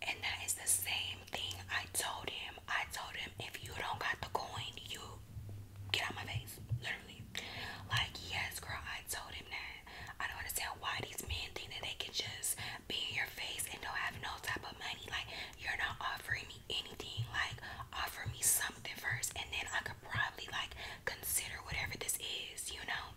And that is the same thing I told him. I told him, if you don't got the coin, you get out my face. Literally. Like, yes, girl, I told him that. I don't understand why these men think that they can just be in your face and don't have no type of money. Like, you're not offering me anything. Like, offer me something first, and then I could probably, like, consider whatever this is, you know?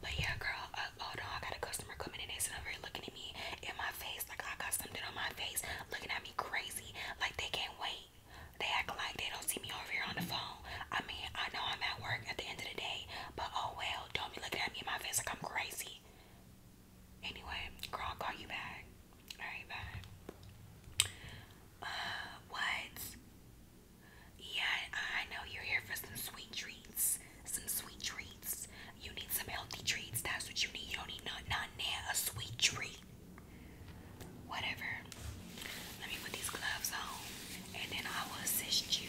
But yeah, girl. Uh, oh I got a customer coming in. They sitting over here looking at me in my face, like I got something on my face, looking at me crazy, like they can't wait. They act like they don't see me over here on the phone. I mean, I know I'm at work at the end of the day, but oh well. Don't be looking at me in my face like I'm crazy. Anyway, girl, i call you back. All right, bye. Uh, what? Yeah, I know you're here for some sweet treats some sweet treats. You need some healthy treats. That's what you need. You don't need not not near a sweet treat. Whatever. Let me put these gloves on, and then I will assist you.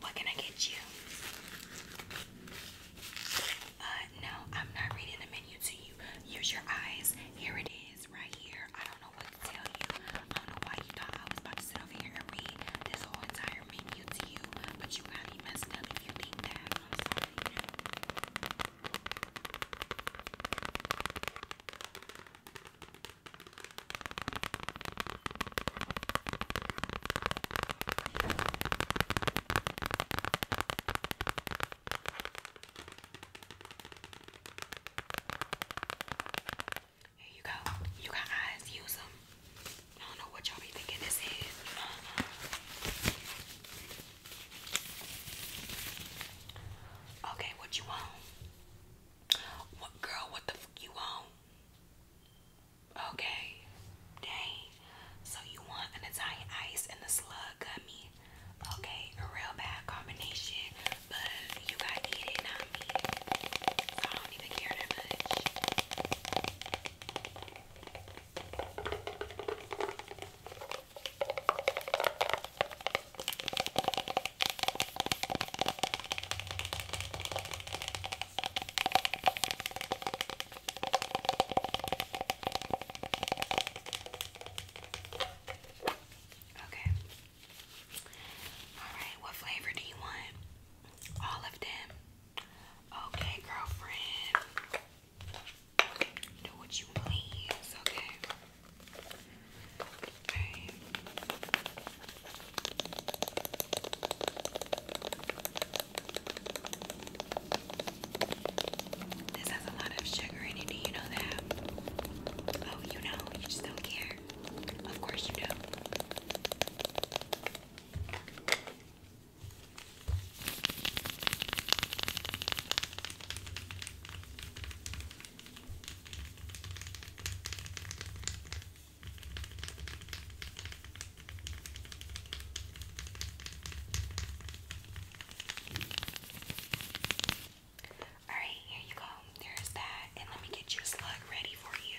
What can I get you? Uh, no, I'm not reading the menu to you. Use your eyes. Here it is, right here. I don't know what to tell you. I don't know why you thought I was about to sit over here and read this whole entire menu to you, but you got me messed up you think that. Here you go. You got eyes, use them. I don't know what y'all be thinking this is. Uh-huh. Okay, what you want? What girl? What the fuck you want? Okay. Dang. So you want an Italian ice and a slug gummy. Okay, a real bad combination, but you gotta eat it, not me. I don't even care that much. Okay. Alright, what flavor do you want? All of them. Okay, girlfriend. Do what you please, okay? Okay. This has a lot of sugar in it, do you know that? Oh, you know, you just don't care. Of course you do. Alright, here you go. There's that. And let me get your slug ready for you.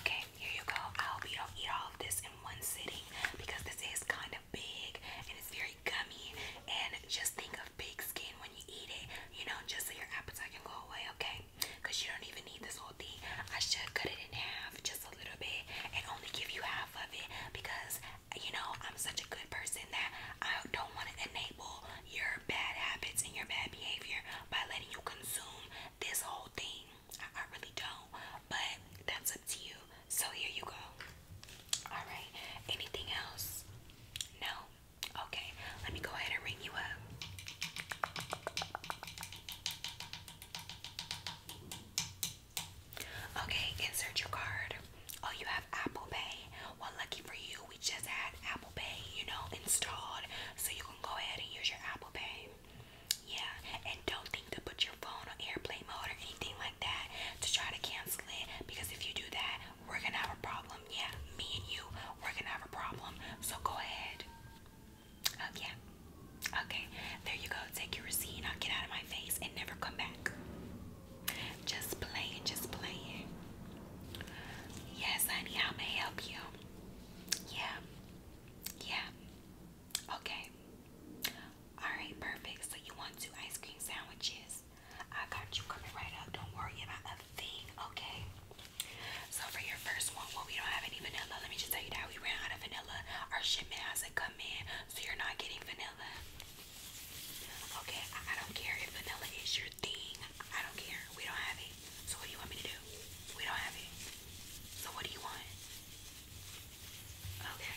Okay, here you go. I hope you don't eat all of this in one sitting because this is kind of big and it's very gummy. And just think of big skin when you eat it, you know, just so your appetite can go away, okay? Because you don't even need this whole thing. I should cut it in half just a little bit and only give you half of it because, you know, I'm such a good person that I don't want to enable your bad habits and your bad behavior by letting you consume this whole thing. I, I really don't, but that's up to you. So here you go. Alright, anything else? No? Okay, let me go ahead and ring you up. Okay, insert your card. Oh, you have Apple Pay. Well, lucky for you, we just had Apple Pay, you know, installed. So you can go ahead and use your Apple Pay. Yeah, and don't think to put your phone on airplane mode or anything like that to try to cancel it because if you do that, we're gonna have a problem. Yeah, me and you, we're gonna have a problem. So go ahead. Um, yeah. Okay, there you go. Take your receipt and I'll get out of my face and never come back. Just playing, just playing. Yes, honey, I may help you. Yeah. Yeah. Okay. Alright, perfect. So you want two ice cream sandwiches. I got you coming right up. Don't worry about a thing, okay? So for your first one, well, we don't have any vanilla. Let me just tell you that we ran out of vanilla. Our shipment hasn't come in, so you're not getting vanilla. Okay, I don't care if vanilla is your thing. I don't care. We don't have it. So what do you want me to do? We don't have it. So what do you want? Okay.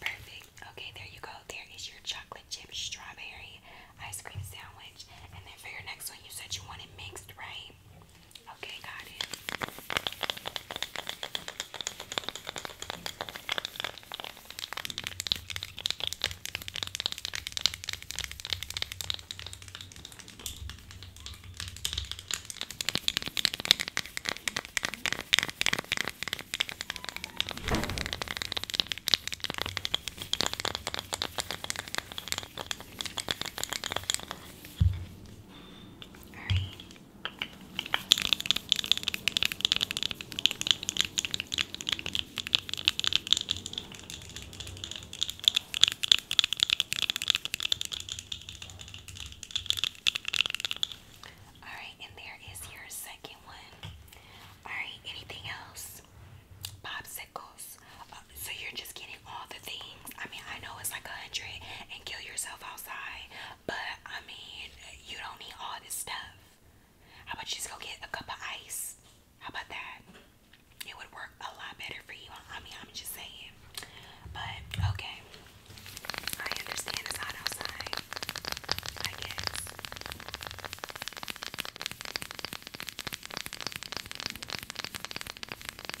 Perfect. Okay, there you go. There is your chocolate chip strawberry ice cream sandwich. And then for your next one, you said you wanted mixed, right? Okay, got it. Alright. and there is your second one. Alright, anything else? Popsicles. Uh, so you're just getting all the things. I mean, I know it's like a hundred and kill yourself outside, but I mean, you don't need all this stuff. How about you just go get a cup of ice? How about that? It would work a lot better for you. I mean, I'm just saying. But okay, I understand it's hot outside. I get.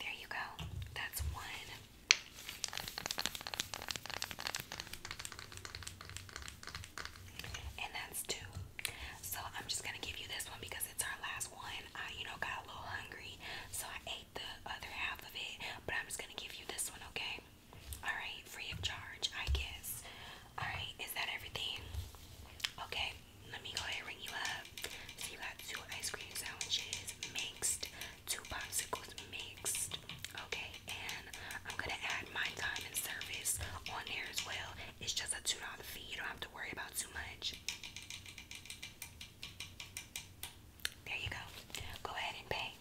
There you go. That's one. And that's two. So I'm just gonna give you this one because it's our last one. I, you know, got a little hungry, so I ate the other half of it. But I'm just gonna give you this one, okay? All right, free of charge, I guess. Alright, is that everything? Okay, let me go ahead and ring you up. you got two ice cream sandwiches mixed, two popsicles mixed. Okay, and I'm gonna add my time and service on there as well. It's just a $2 fee, you don't have to worry about too much. There you go. Go ahead and pay.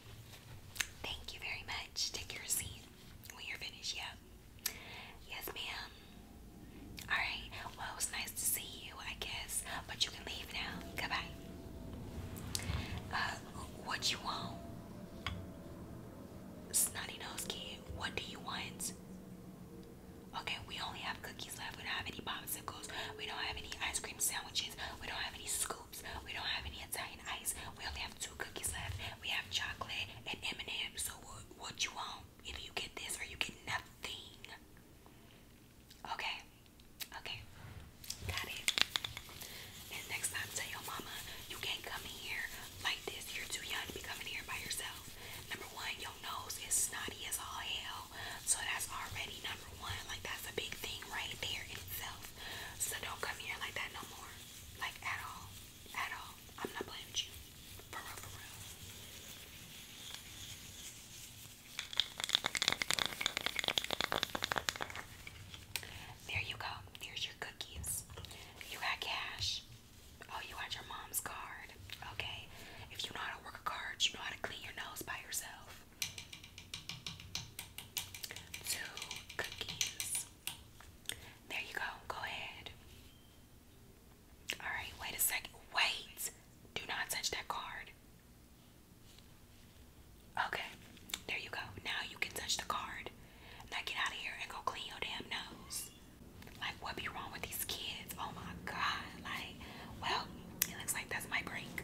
Thank you very much. Take your seat. When you're finished, yeah. Yes, ma'am. Alright, well, it nice to see you, I guess. But you can leave now. Goodbye. Uh, what you want? Snotty nose kid, what do you want? Okay, we only have cookies left. We don't have any popsicles. We don't have any ice cream sandwiches. We don't have any scoops. We don't have any Italian ice. We only have two cookies left. We have chocolate and M&M. So what, what you want? If you get this or you get nothing. Okay. Okay. Got it. And next time, tell your mama you can't come in here like this. You're too young to be coming here by yourself. Number one, your nose is snotty as all hell. So that's already number one. Like that's a big thing right there in itself. So don't come here like that no more. Like at all. At all. I'm not blaming you. For real, for real. There you go. Here's your cookies. You got cash. Oh, you got your mom's card. Okay. If you know how to work a card, you know how to clean your nose by yourself. Two cookies. There you go. Go ahead. Alright, wait a second. Wait! Do not touch that card. Okay, there you go. Now you can touch the card. Now get out of here and go clean your damn nose. Like, what be wrong with these kids? Oh my god. Like, well, it looks like that's my break.